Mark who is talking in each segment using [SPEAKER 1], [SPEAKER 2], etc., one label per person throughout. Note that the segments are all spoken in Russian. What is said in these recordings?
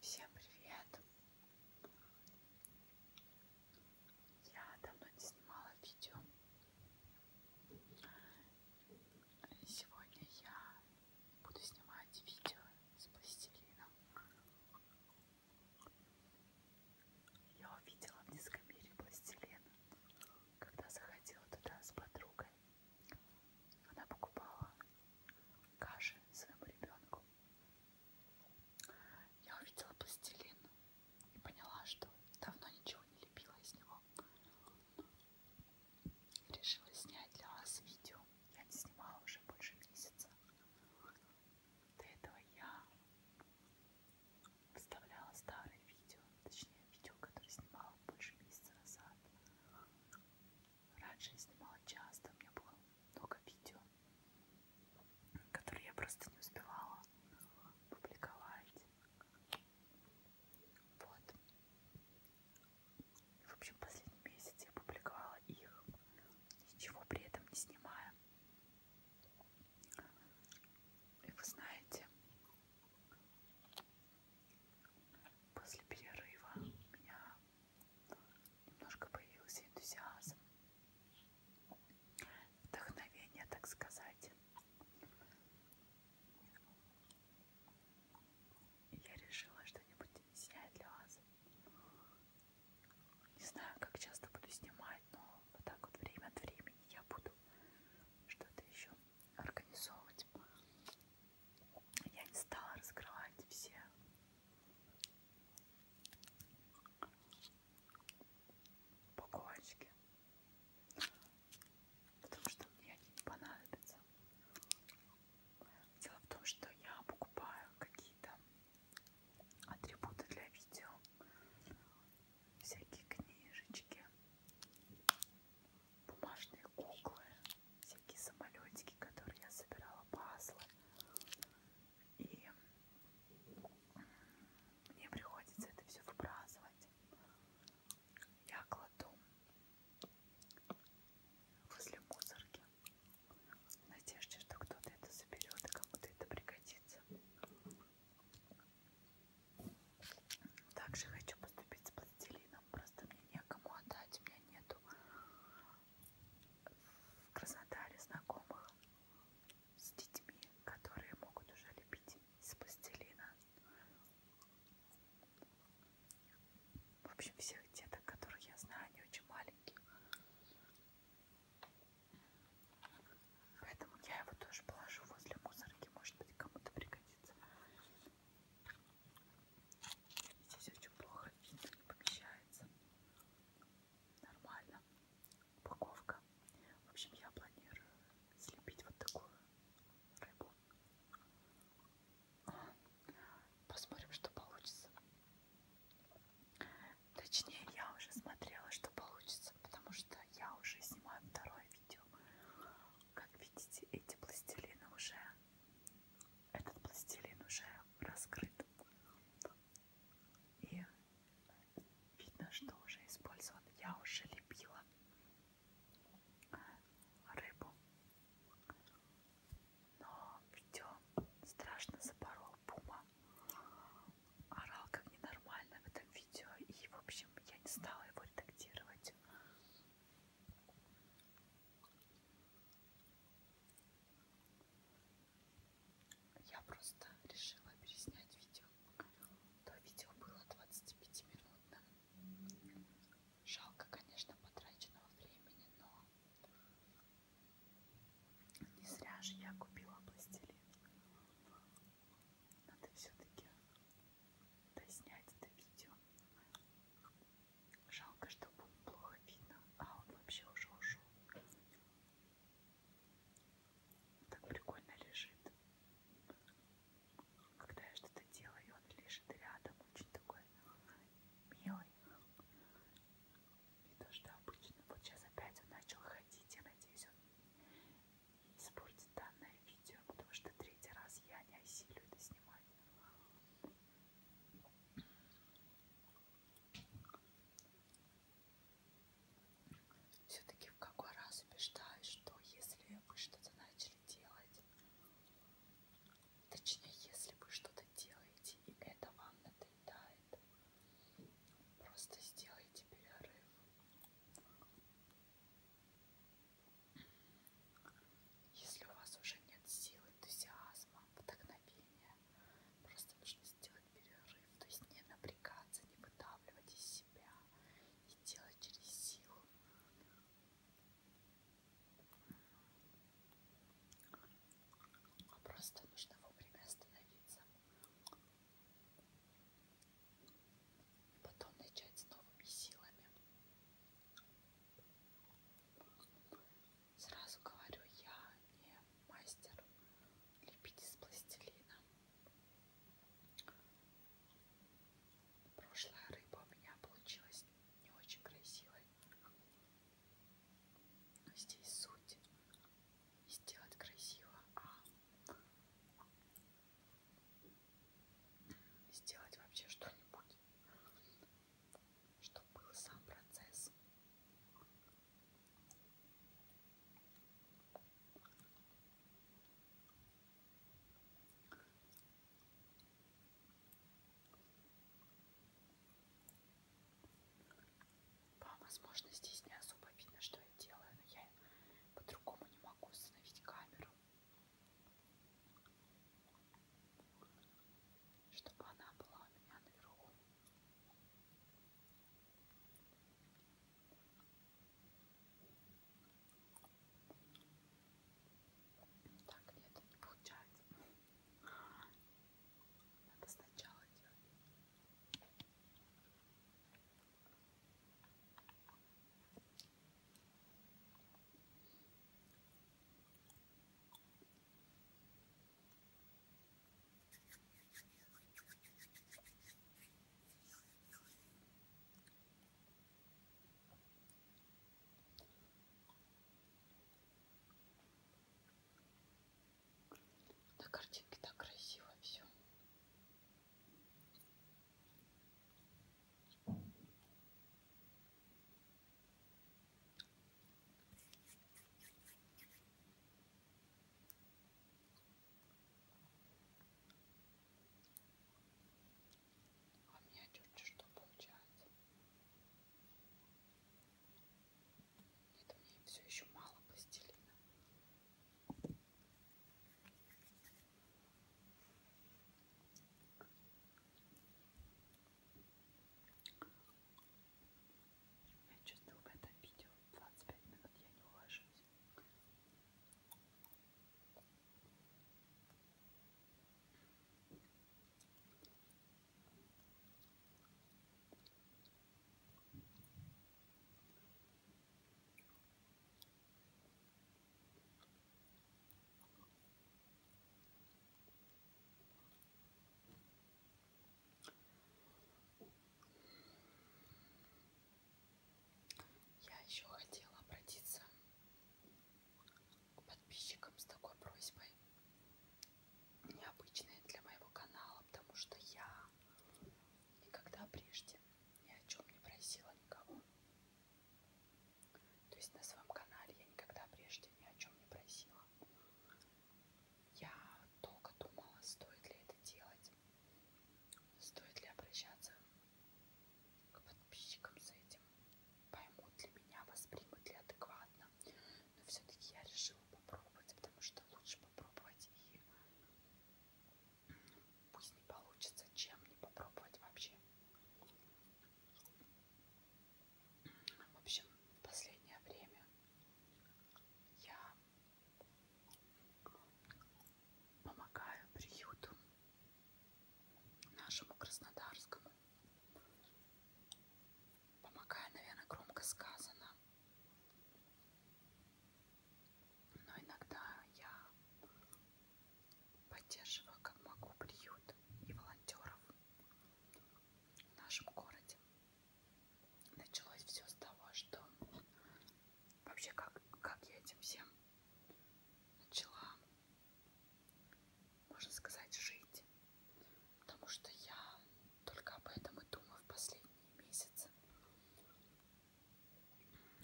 [SPEAKER 1] Всем привет! Я давно не снимала видео. Сегодня я буду снимать видео с пластилином. Я увидела в низком мире пластилин, когда заходила туда с подругой. Она покупала каши своему ребенку. Я увидела пластилин и поняла, что давно ничего не лепила из него. Решила снять для вас видео. Я не снимала уже больше месяца. До этого я вставляла старые видео, точнее видео, которые снимала больше месяца назад. Раньше я снимала часто, у меня было много видео, которые я просто не успевала публиковать. Вот. В общем, последний месяц я публиковала их, ничего при этом не снимая. И вы знаете, После перерыва у меня немножко появился энтузиазм, вдохновение, так сказать. Я решила что-нибудь снять для вас. Не знаю, как часто буду снимать, но вот так вот время от времени я буду что-то еще организовывать. Я не стала раскрывать все. Упаковочки. Потому что мне они не понадобятся. Дело в том, что я покупаю какие-то атрибуты для видео. Всякие книжечки бумажные куклы, всякие самолетики, которые я собирала по Аслу. И мне приходится это все выбрасывать. Я кладу возле мусорки в надежде, что кто-то это заберет и кому-то это пригодится. Также хочу поступить с пластилином, просто мне некому отдать, у меня нету в Краснодаре знакомых с детьми, которые могут уже лепить из пластилина. В общем, всех деток, которых я знаю, они очень маленькие. Поэтому я его тоже положу возле мусорки, может быть, кому-то пригодится. Здесь очень плохо видно, не помещается. Нормально. Упаковка. В общем, я планирую слепить вот такую рыбу. Посмотрим, что получится. Точнее, я уже смотрела, что получится, потому что я уже снимаю второе видео. Как видите, эти пластилины уже этот пластилин уже раскрыт. И видно, что уже использован. Я уже лепила рыбу. Но все страшно запорол пума. Орал как ненормально в этом видео. И, в общем, я не стала его редактировать. Я просто решила переснять видео. То видео было 25-минутным. Жалко, конечно, потраченного времени, но не зря же я купила пластилин. Надо все-таки доснять это видео. Жалко, что было плохо видно, а он вообще уже ушел. Так прикольно лежит. Когда я что-то делаю, он лежит рядом, очень такой милый. Не то, что обычно. Вот сейчас опять он начал ходить. Я надеюсь, он не испортит данное видео, потому что третий раз я не осилю это снимать. Все-таки в какой раз убеждаюсь, что если вы что-то начали делать, точнее, если вы что-то делаете и это вам надоедает, просто сделайте перерыв. Если у вас уже нет сил, энтузиазма, вдохновения, просто нужно сделать перерыв, то есть не напрягаться, не выдавливать из себя и делать через силу. А просто нужно вовремя остановиться. И потом начать с новыми силами. Сразу говорю, я не мастер лепить из пластилина. Прошлая рыба у меня получилась не очень красивой. Но здесь суть не сделать красиво, а сделать вообще что-нибудь, чтобы был сам процесс. Вам, возможно, здесь не особо видно, что я делаю, но я по-другому не могу установить камеру чтобы она была у меня наверху. Так, нет, не получается. Надо сначала делать. На картинке так красиво все. А у меня чуть-чуть что получается. Нет, мне все еще мало пластилина. Я чувствую в этом видео 25 минут я не уложусь. Я еще хотела обратиться к подписчикам с такой просьбой. Необычной для моего канала, потому что я никогда прежде ни о чем не просила никого. То есть на своем канале я никогда прежде ни о чем не просила. Я долго думала, стоит ли это делать, стоит ли обращаться к подписчикам с этим, поймут ли меня, воспримут ли адекватно. Но все-таки я решила попробовать, потому что лучше попробовать и Пусть не получится, чем не попробовать вообще. В общем, в последнее время я помогаю приюту нашему краснодарскому. Помогаю, наверное, громко сказано. Но иногда я поддерживаю как могу приют и волонтеров в нашем городе. Началось все с того, что вообще как, как я этим всем начала, можно сказать, жить. Потому что я только об этом и думаю в последние месяцы.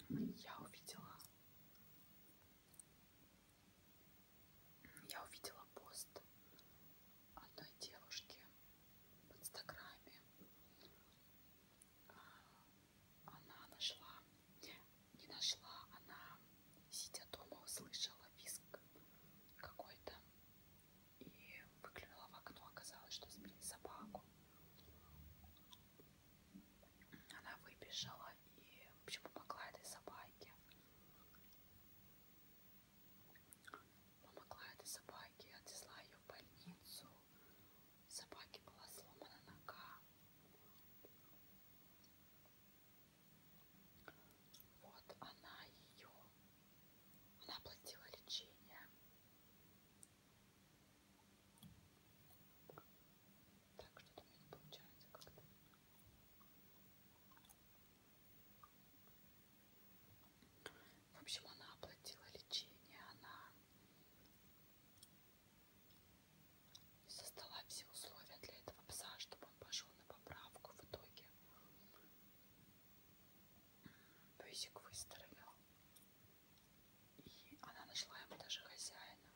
[SPEAKER 1] Я увидела я увидела пост одной девушки в Инстаграме. А, она нашла, не нашла, она, сидя дома, услышала визг какой-то и выглянула в окно. Оказалось, что сбили собаку. Она выбежала и вообще помогла этой собаке. Помогла этой собаке, отвезла ее в больницу. У собаки была сломана нога. Вот она ее, она платила лечение. Так, что-то у меня не получается как-то. В общем, она оплатила лечение, она создала все условия для этого пса, чтобы он пошел на поправку в итоге. Песик выздоровел. И она нашла ему даже хозяина.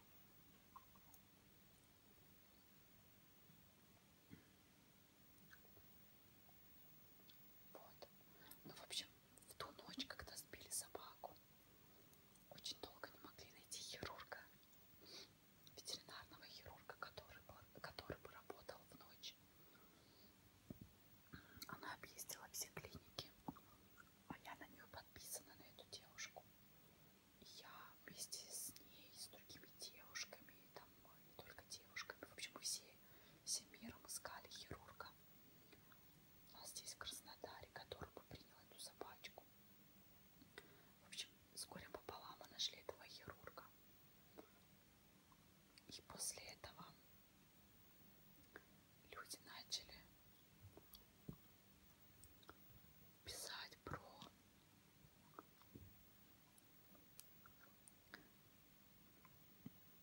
[SPEAKER 1] Вот. Ну, в общем, в ту ночь, когда сбили собаку, очень долго не могли найти хирурга, ветеринарного хирурга, который бы, который бы работал в ночь. Она объездила все клиники, а я на нее подписана на эту девушку. И я вместе с ней, с другими девушками, там э, не только девушками, в общем, мы все, всем миром искали хирурга. У а нас здесь в Краснодаре, который бы принял эту собачку. В общем, с горем пополам мы нашли этого хирурга. И после этого люди начали писать про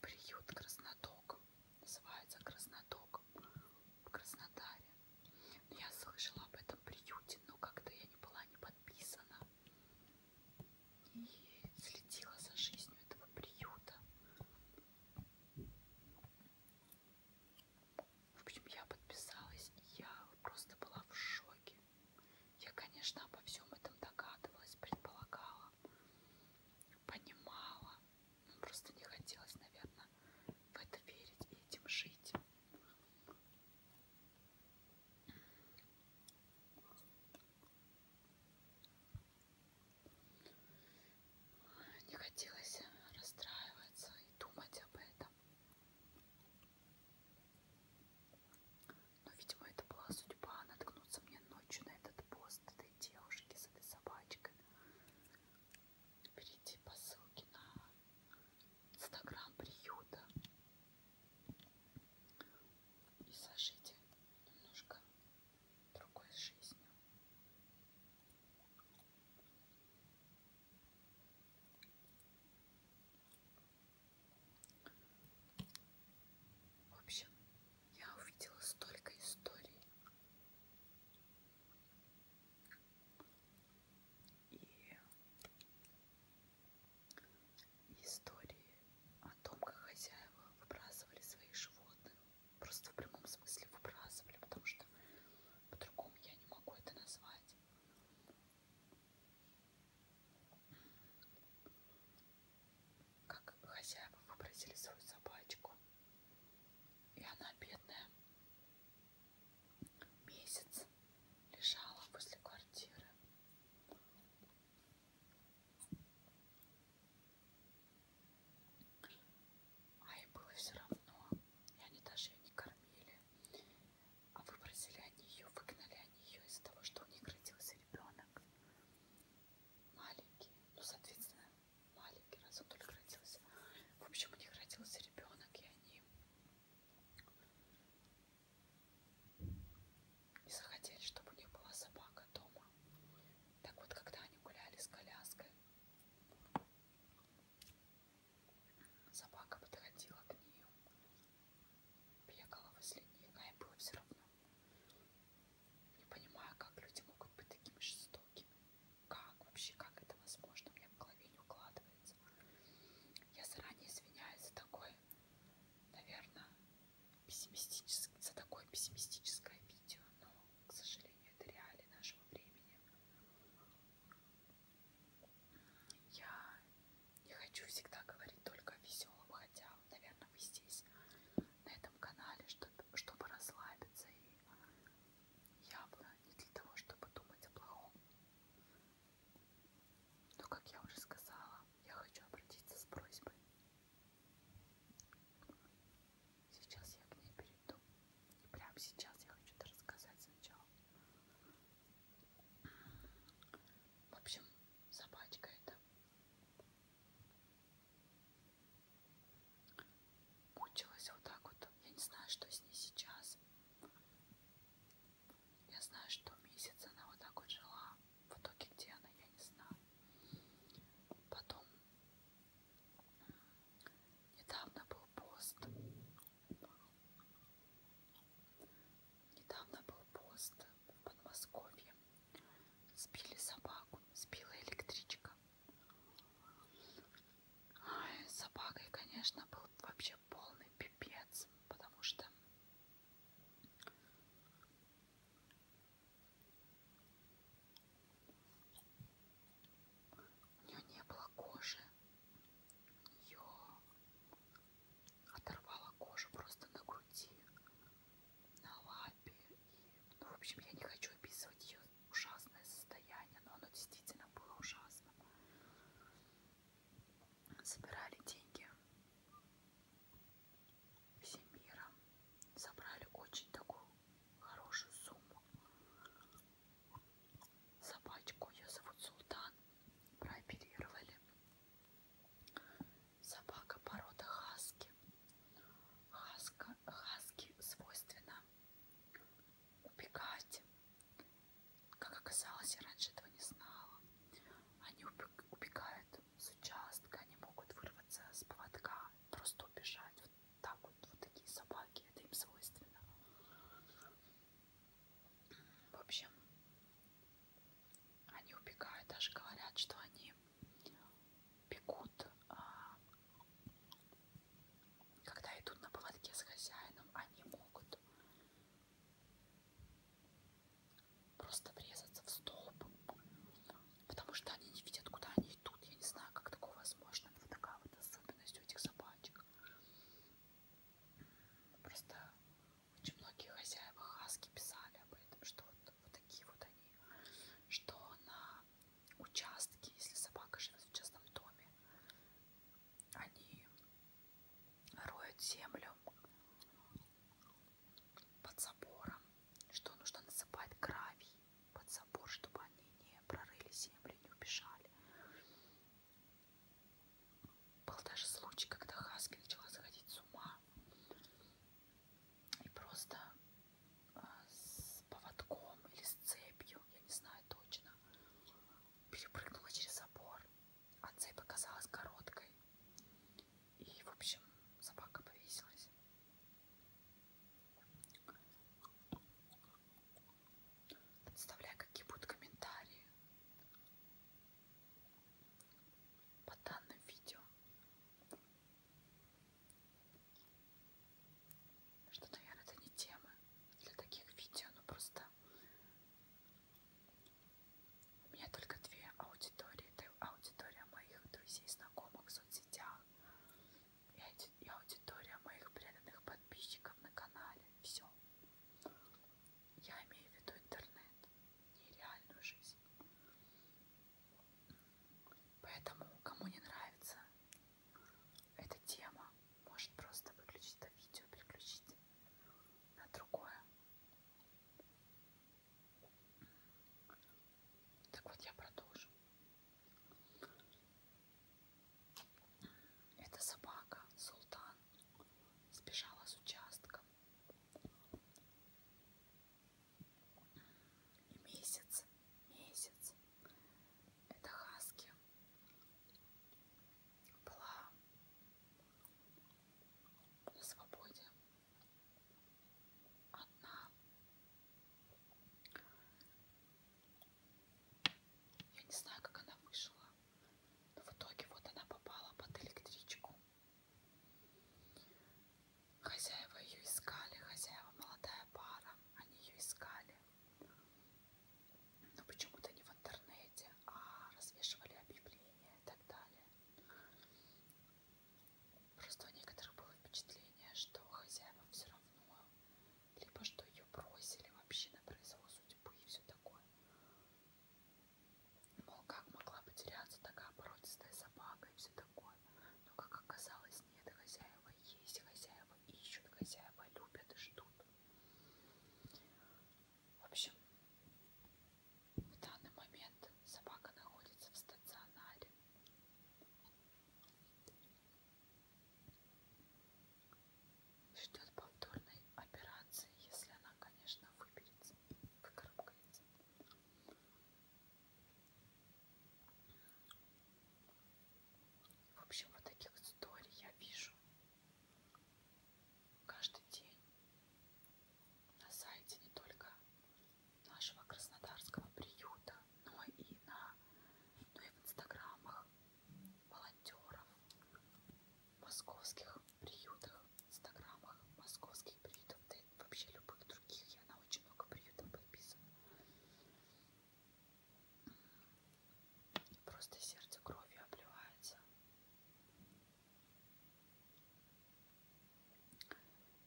[SPEAKER 1] приют Красноток. Называется Красноток в Краснодаре. Ну, я слышала об этом приюте, но как-то я не была не подписана. И следила за жизнью этого приюта. В общем, я подписалась, и я просто была в шоке. Я, конечно, обо всем этом догадывалась, предполагала, понимала. Но просто не хотелось, наверное, в это верить и этим жить. Не хотелось расстраиваться и думать об этом. Но, видимо, это была судьба наткнуться мне ночью на этот пост этой девушки с этой собачкой. Перейти по ссылке на инстаграм приюта и сложить немножко другой жизнью. В общем, я увидела столько историй. И истории о том, как хозяева выбрасывали своих животных просто в прямом смысле выбрасывали, потому что по-другому я не могу это назвать. Как хозяева выбросили свою собачку, и она бедная месяц лежала возле квартиры. А им было все равно. И они даже ее не кормили. А выбросили они ее, выгнали они ее из-за того, что у них родился ребенок. Маленький. Ну, соответственно, маленький, раз он только родился. В общем, у них родился ребенок, и они не захотели, чтобы у них была собака дома дома. Так вот, когда они гуляли с коляской, собака подходила к ней, бегала возле них, а им было все равно. Не понимаю, как люди могут быть такими жестокими. Как вообще, как это возможно? Мне в голове не укладывается. Я заранее извиняюсь за такой, наверное, пессимистический, за такое пессимистическое видео, но к сожалению, это реалии нашего времени. Я не хочу всегда говорить только о веселом, хотя, наверное, вы здесь, на этом канале, чтобы, чтобы расслабиться и явно не для того, чтобы думать о плохом. Но, как я уже сказала, я хочу обратиться с просьбой. Сейчас я к ней перейду. И прямо сейчас я хочу это рассказать сначала. В общем, собачка это мучилась вот так вот. Я не знаю, что с ней сейчас. Я знаю, что месяц она вот так вот жила. В итоге где она, я не знаю. Потом Недавно был пост. Недавно был пост в Подмосковье. Сбили собаку, сбила электричка. Ай, с собакой, конечно, был вообще полный пипец, потому что у нее не было кожи. Ее оторвала кожу просто на груди, на лапе. И, ну, в общем, я не хочу описывать ее ужасное состояние, но оно действительно было ужасно. Собирали деньги Всемира собрали очень такую хорошую сумму. Собачку, ее зовут Султан, прооперировали. Собака порода хаски. Хаска, хаски свойственно убегать. Как оказалось, я раньше этого не знала. Они убегают с участка, они могут вырваться с поводка, просто убежать. Вот так вот, вот такие собаки, это им свойственно. В общем, они убегают, даже говорят, что они бегут, а, когда идут на поводке с хозяином, они могут просто врезаться в столб потому что они не видят, куда они идут. Я не знаю, как такое возможно, но вот такая вот особенность у этих собачек. Просто очень многие хозяева хаски писали об этом, что вот, вот такие вот они, что на участке, если собака живет в частном доме, они роют землю, под забором, что нужно насыпать гравий под забор, чтобы они не прорыли землю, не убежали. Был даже случай, когда Хаски начала сходить с ума и просто а, с поводком или с цепью, я не знаю точно, перепрыгнула через забор, а цепь оказалась короткой. И, в общем, собака повесилась. Представляю, какие будут комментарии по данным видео. Что, наверное, это не тема для таких видео, но просто у меня только две аудитории открытая аудитория моих друзей, знакомых в соцсетях и аудитория моих преданных подписчиков на канале. Все. Я имею в виду интернет, не реальную жизнь. Поэтому, кому не нравится эта тема, может просто выключить это видео, переключить на другое. Так вот, я продолжу. Эта собака, Султан, сбежала с участка. И месяц, месяц, эта хаски была на свободе одна. Я не знаю, как она вышла, но в итоге вот она попала под электричку. Хозяева ее искали, хозяева молодая пара, они ее искали. Но почему-то не в интернете, а развешивали объявления и так далее. Просто у некоторых было впечатление, что хозяевам все равно, либо что ее бросили вообще на произвол судьбы и все такое. Мол, как могла потеряться такая породистая собака и все такое. Но, как оказалось, нет, и хозяева есть, и хозяева ищут, и хозяева любят и ждут. В общем, в данный момент собака находится в стационаре. Ждет повторной операции, если она, конечно, выберется, выкарабкается. В общем, вот таких историй я вижу каждый день на сайте не только нашего краснодарского приюта, но и на но и в инстаграмах волонтеров московских приютах, инстаграмах московских приютов, да и вообще любых других. Я на очень много приютов подписана. Просто сердце кровью обливается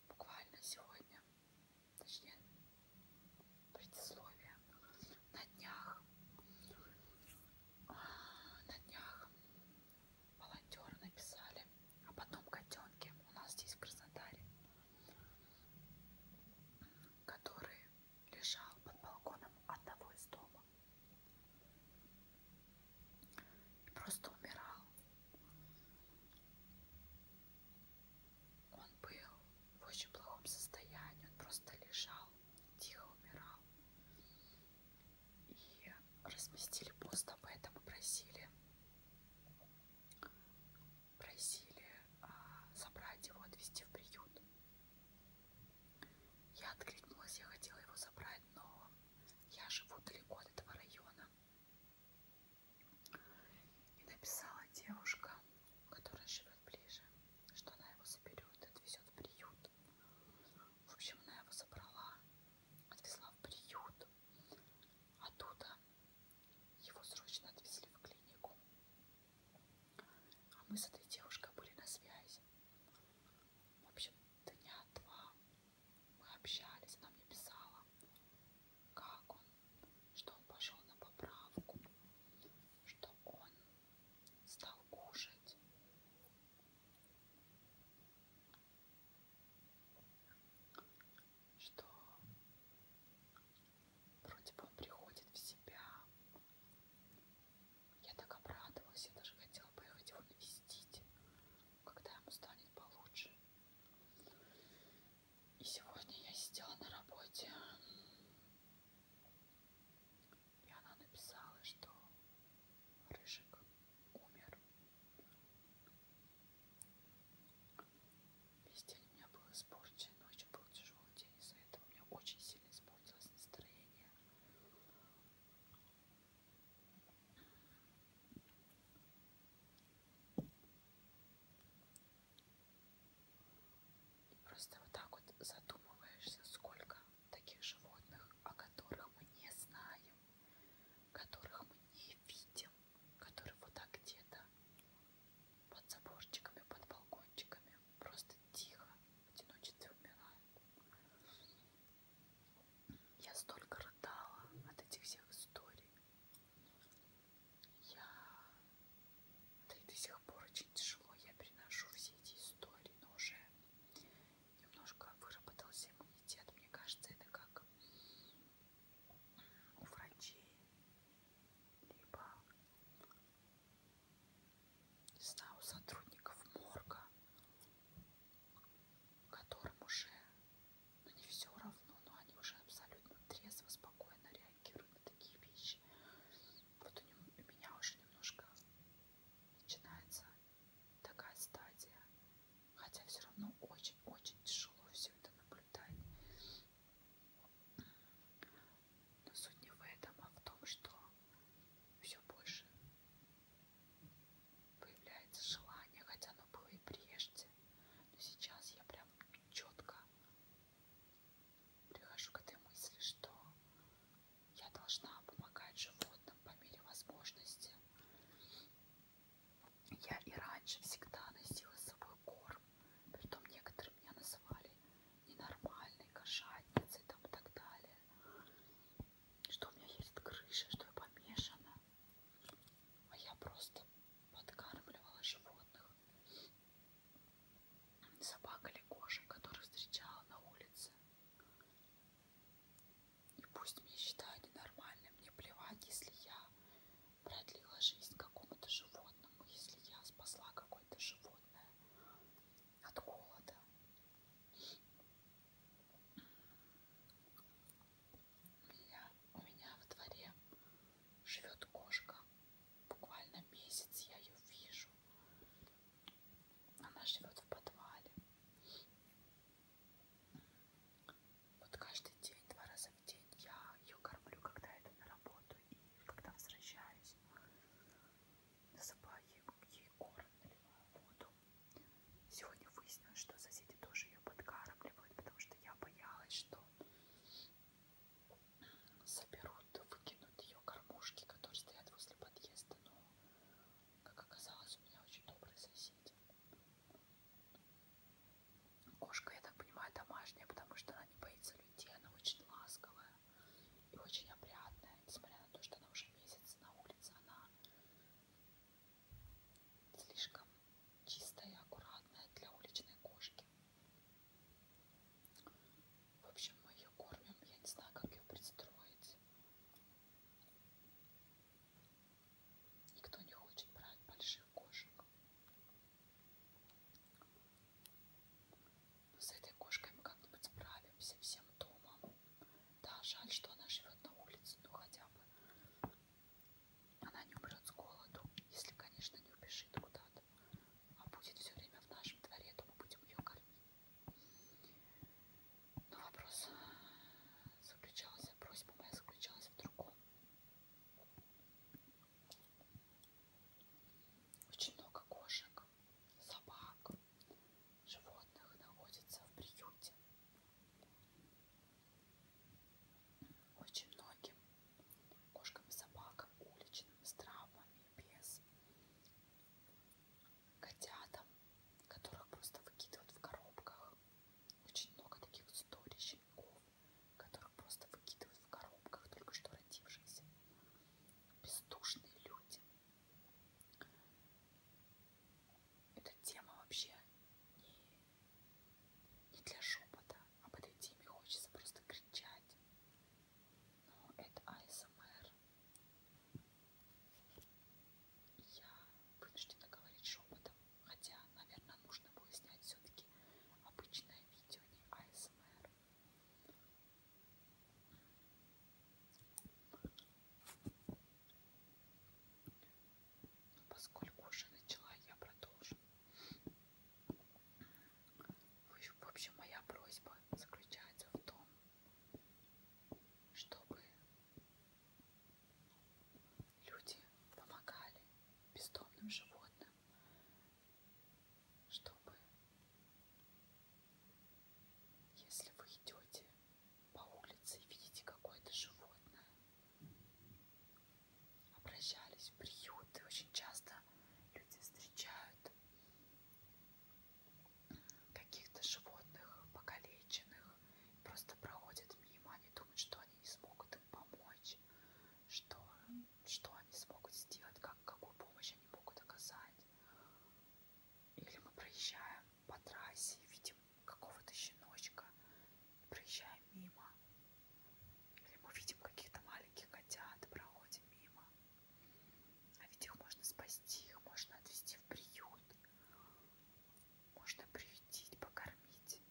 [SPEAKER 1] буквально сегодня, точнее предисловие, на днях, а, на днях волонтеры написали а об одном котенке у нас здесь в Краснодаре, который лежал под балконом одного из дома и просто умирал. Он был в очень плохом состоянии, он просто лежал, тихо умирал. И разместили пост об этом и просили, просили а, забрать его, отвезти в приют. Я откликнулась, я хотела его забрать, но я живу далеко от этого района. И написала девушка, которая живет ближе, что она его заберет, отвезет в приют. В общем, она его забрала, отвезла в приют. Оттуда его срочно отвезли в клинику. А мы с этой девушкой были на связи. В общем, дня два мы общались, она мне писала, как он, что он пошел на поправку, что он стал кушать. Что вроде бы он приходит в себя. Я так обрадовалась, я даже хотела поехать его навестить когда ему станет получше. И сегодня я сидела на работе, и она написала, что Рыжик умер. Весь день у меня был испорчен, ночью был тяжелый день, из-за этого у меня очень сильно испортилось настроение. И просто вот так вот задумываешься, сколько таких животных, о которых мы не знаем, которых мы не видим, которые вот так где-то под заборчиками, под балкончиками, просто тихо, в одиночестве умирают. Я столько рыдала от этих всех историй. Я... Да и до сих пор очень тяжело. Я переношу все эти истории, но уже немножко выработался иммунитет. Мне кажется, это как у врачей. Либо не знаю, у сотрудников морга которым уже, ну не все равно, но они уже абсолютно трезво, спокойно реагируют на такие вещи. Вот у, него, у меня уже немножко начинается такая стадия, хотя все равно очень-очень тяжело все это наблюдать. Но суть не в этом, а в том, что все больше появляется желание, хотя оно было и прежде, но сейчас я прям четко прихожу к этой мысли, что я должна помогать животным по мере возможности. Я и раньше всегда носила с собой корм, притом некоторые меня называли ненормальной кошатницей там, и так далее что у меня едет крыша, что я помешана. А я просто подкармливала животных. Собак или кошек, которых встречала на улице. И пусть меня считают ненормальным, мне плевать, если я продлила жизнь какому-то животному, если я спасла какое-то животное от голода. У меня, у меня во дворе живет кошка. Буквально месяц я ее вижу. Она живет в подвале. Вот каждый день, два раза в день я ее кормлю, когда иду на работу и когда возвращаюсь. Насыпаю ей, ей корм, наливаю воду. Сегодня выяснилось, что соседи тоже ее подкармливают, потому что я боялась, что соберут, выкинут ее кормушки, которые стоят возле подъезда. Но, как оказалось, у меня очень добрые соседи. Кошка, я так понимаю, домашняя, потому что она не боится людей, она очень ласковая и очень опрятная, несмотря на то, что она уже месяц на улице, она Слишком чистая и аккуратная для уличной кошки. В общем, мы ее кормим. Я не знаю, как ее пристроить. Никто не хочет брать больших кошек. Но с этой кошкой мы как-нибудь справимся всем домом. Да, жаль, что она живет на улице, но ну, хотя бы она не умрет с голоду, если, конечно, не убежит куда-то, а будет все время в нашем дворе, то мы будем ее кормить. Но вопрос э, заключался, просьба моя заключалась в другом. Очень много кошек, собак, животных находится в приюте. Очень многим кошкам и собакам, уличным, с травмами, без котятам, которых просто выкидывают в коробках. Очень много таких историй щенков, которых просто выкидывают в коробках, только что родившихся. Бездушные люди, эта тема вообще не, не для шепота. А Об этой теме хочется просто кричать. Но это АСМР. Я вынуждена говорить шепотом. Хотя, наверное, нужно было снять все-таки обычное видео, а не АСМР. Поскольку уже начала, я продолжу. В общем, моя просьба заключается в том, чтобы люди помогали бездомным животным, чтобы если вы идете по улице и видите какое-то животное, обращались в приюты. Очень часто люди встречают каких-то животных покалеченных, просто проходят мимо, они думают, что они не смогут им помочь, что, что они смогут сделать, как, какую помощь они могут оказать. Или мы проезжаем по трассе и видим какого-то щеночка, и проезжаем мимо. Или мы видим каких-то маленьких котят и проходим мимо. А ведь их можно спасти, их можно отвезти в приют. Можно приютить, покормить.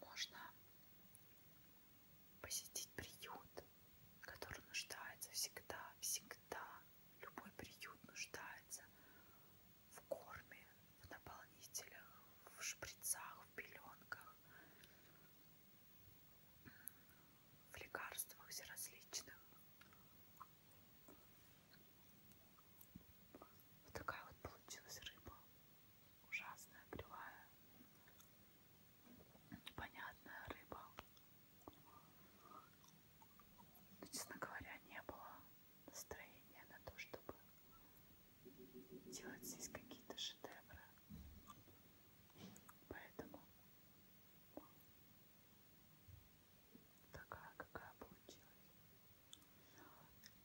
[SPEAKER 1] Можно посетить приют, который нуждается всегда, всегда. Любой приют нуждается в корме, в наполнителях, в шприцах, в пеленках, в лекарствах различных. Вот такая вот получилась рыба. Ужасная, кривая непонятная рыба. Но, ну, честно говоря, не было настроения на то, чтобы делать здесь какие-то шедевры. Поэтому такая, какая получилась.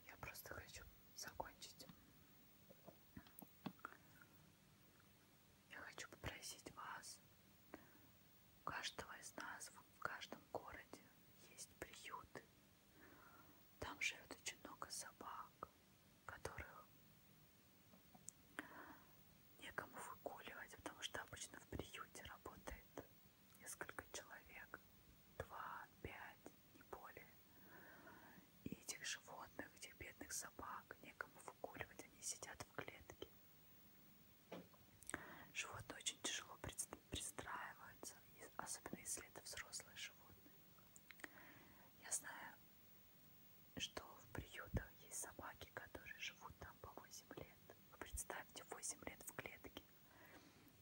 [SPEAKER 1] Я просто хочу закончить я хочу попросить вас, у каждого из нас в каждом городе есть приюты. Там живет очень много собак, которых некому выгуливать, потому что обычно в приюте работает несколько человек, два, пять, не более. И этих животных, этих бедных собак некому выгуливать, они сидят в клетке. Животные очень тяжело пристраиваются, особенно если это взрослые животные. Я знаю, что в приютах есть собаки, которые живут там по 8 лет. Вы представьте, 8 лет в клетке.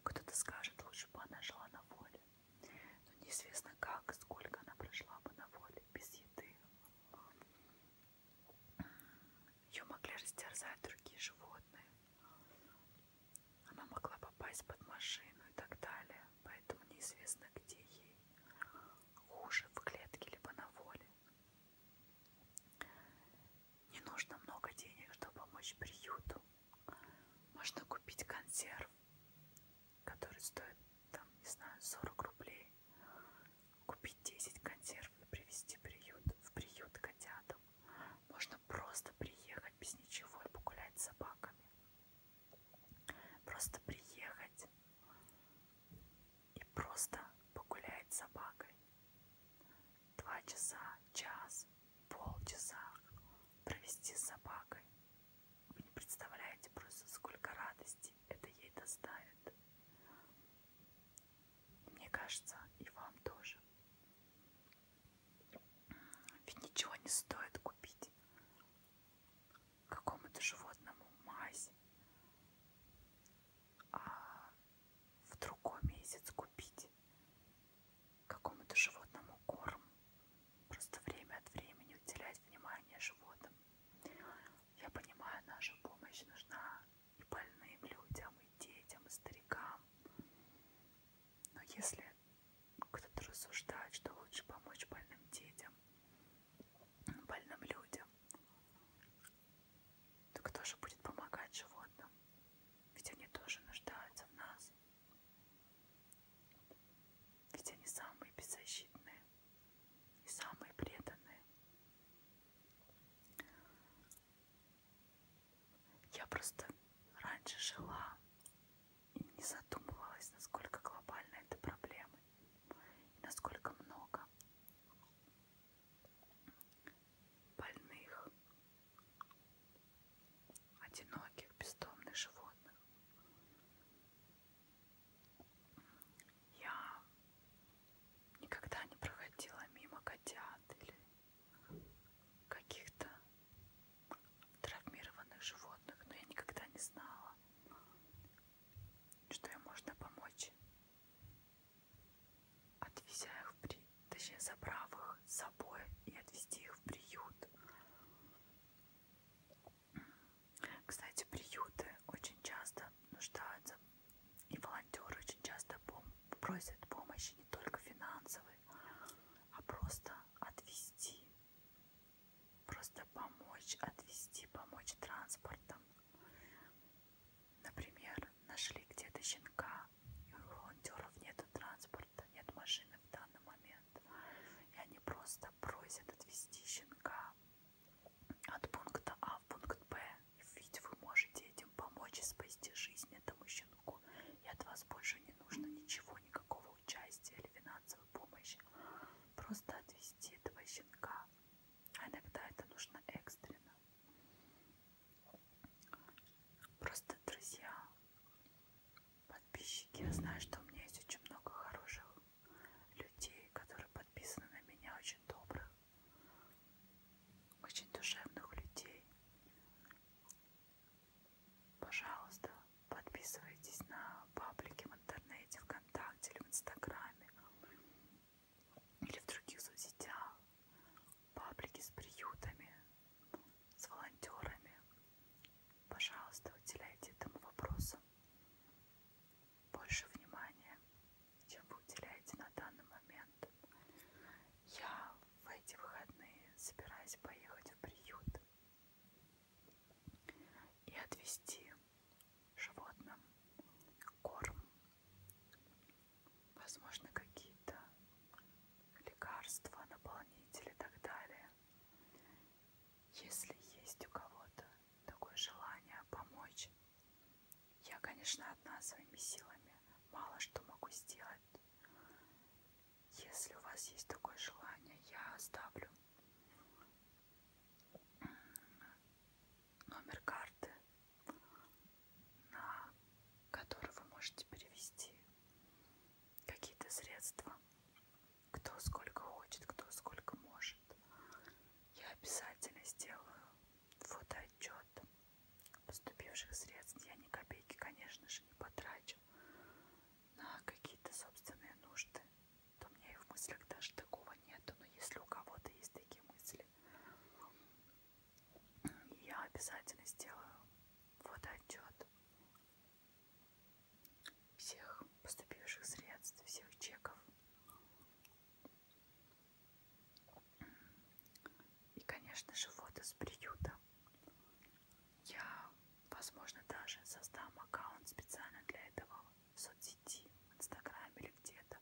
[SPEAKER 1] Кто-то скажет, лучше бы она жила на воле. Но неизвестно как, сколько она прожила бы на воле, без еды, ее могли растерзать другие животные. Она могла попасть под машину и так далее, поэтому неизвестно, где ей хуже, в клетке либо на воле. Не нужно много денег, чтобы помочь приюту. Можно купить консерв, который стоит, там, не знаю, 40 рублей, купить 10 консерв и привезти приют, в приют котятам. Можно просто приехать без ничего и погулять с собаками. Просто приехать и просто погулять с собакой. Два часа, час, полчаса провести с собакой. Вы не представляете просто, сколько радости это ей доставит. Мне кажется, и вам тоже. Ведь ничего не стоит купить какому-то животному мазь, а в другой месяц купить какому-то животному корм. Просто время от времени уделять внимание животным. Я понимаю, наша помощь нужна и больным людям, и детям, и старикам. Но если кто-то рассуждает, что лучше помочь больным детям, больным людям, то кто же будет помогать животным? Ведь они тоже нуждаются в нас. Ведь они самые беззащитные и самые преданные. Я просто раньше жила и не задумывалась, насколько глобальна эта проблема и насколько много больных, одиноких, бездомных животных. Я никогда не проходила мимо котят или каких-то травмированных животных, но я никогда не знала, что им можно помочь, отвезя их в при... точнее забрав их с собой и отвезти их в приют. Кстати, приюты очень часто нуждаются, и волонтеры очень часто пом просят помощи не только финансовой, а просто отвести, просто помочь, отвести, помочь транспортом. Например, нашли где-то щенка, и у волонтеров нет транспорта, нет машины в данном момент. И они просто просят отвести щенка от пункта А в пункт Б. Ведь вы можете этим помочь и спасти жизнь этому щенку. И от вас больше не нужно ничего, никакого участия или финансовой помощи. Просто отвести этого щенка. А иногда это нужно экстренно. Просто, друзья, подписчики, я знаю, что у меня есть очень много хороших людей, которые подписаны на меня, очень добрых, очень душевных людей. Пожалуйста, подписывайтесь на паблики в интернете, ВКонтакте или в Инстаграме или в других соцсетях, паблики с приютами, с волонтерами, Пожалуйста, уделяйте этому вопросу больше внимания, чем вы уделяете на данный момент. Я в эти выходные собираюсь поехать в приют и отвезти животным корм, возможно, какие-то лекарства, наполнители и так далее. Если есть у кого-то такое желание помочь, я, конечно, одна своими силами мало что могу сделать. Если у вас есть такое желание, я оставлю номер карты, на который вы можете перевести какие-то средства кто сколько хочет, кто сколько может. Я обязательно сделаю фотоотчет поступивших средств. Я ни копейки, конечно же, не потрачу на какие-то собственные нужды. То у меня и в мыслях даже такого нету. Но если у кого-то есть такие мысли, я обязательно сделаю фотоотчет всех поступивших средств, всех чеков. И, конечно же, вот из приюта. Я, возможно, даже создам аккаунт специально для этого в соцсети, в Инстаграме или где-то.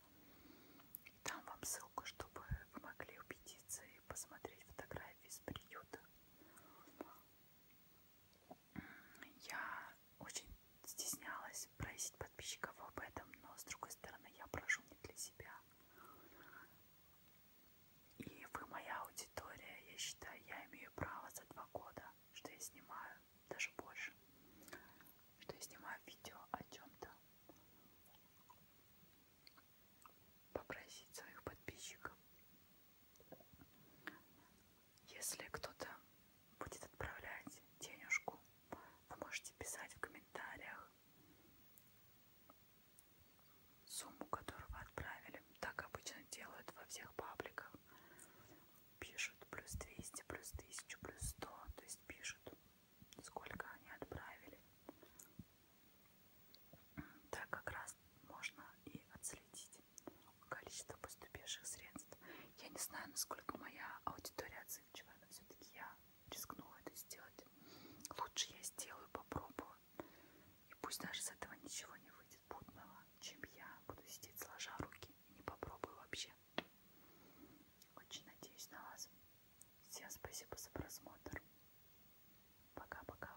[SPEAKER 1] И там вам ссылку, чтобы вы могли убедиться и посмотреть фотографии из приюта я очень стеснялась просить подписчиков об этом, но с другой стороны я прошу не для себя. И вы моя аудитория, я считаю, я имею право за два года, что я снимаю, даже больше, что я снимаю видео о чем-то, попросить своих подписчиков если кто-то будет отправлять денежку, вы можете писать в комментариях сумму, которую вы отправили. Так обычно делают во всех пабликах. Пишут плюс 200, плюс 1000, плюс 100. То есть пишут, сколько они отправили. Так как раз можно и отследить количество поступивших средств. Я не знаю, насколько моя аудитория отзывчива, но все-таки я рискнула это сделать. Лучше я сделаю, попробую. И пусть даже с этого ничего не выйдет путного, чем я буду сидеть сложа руки и не попробую вообще. Очень надеюсь на вас. Всем спасибо за просмотр. Пока-пока.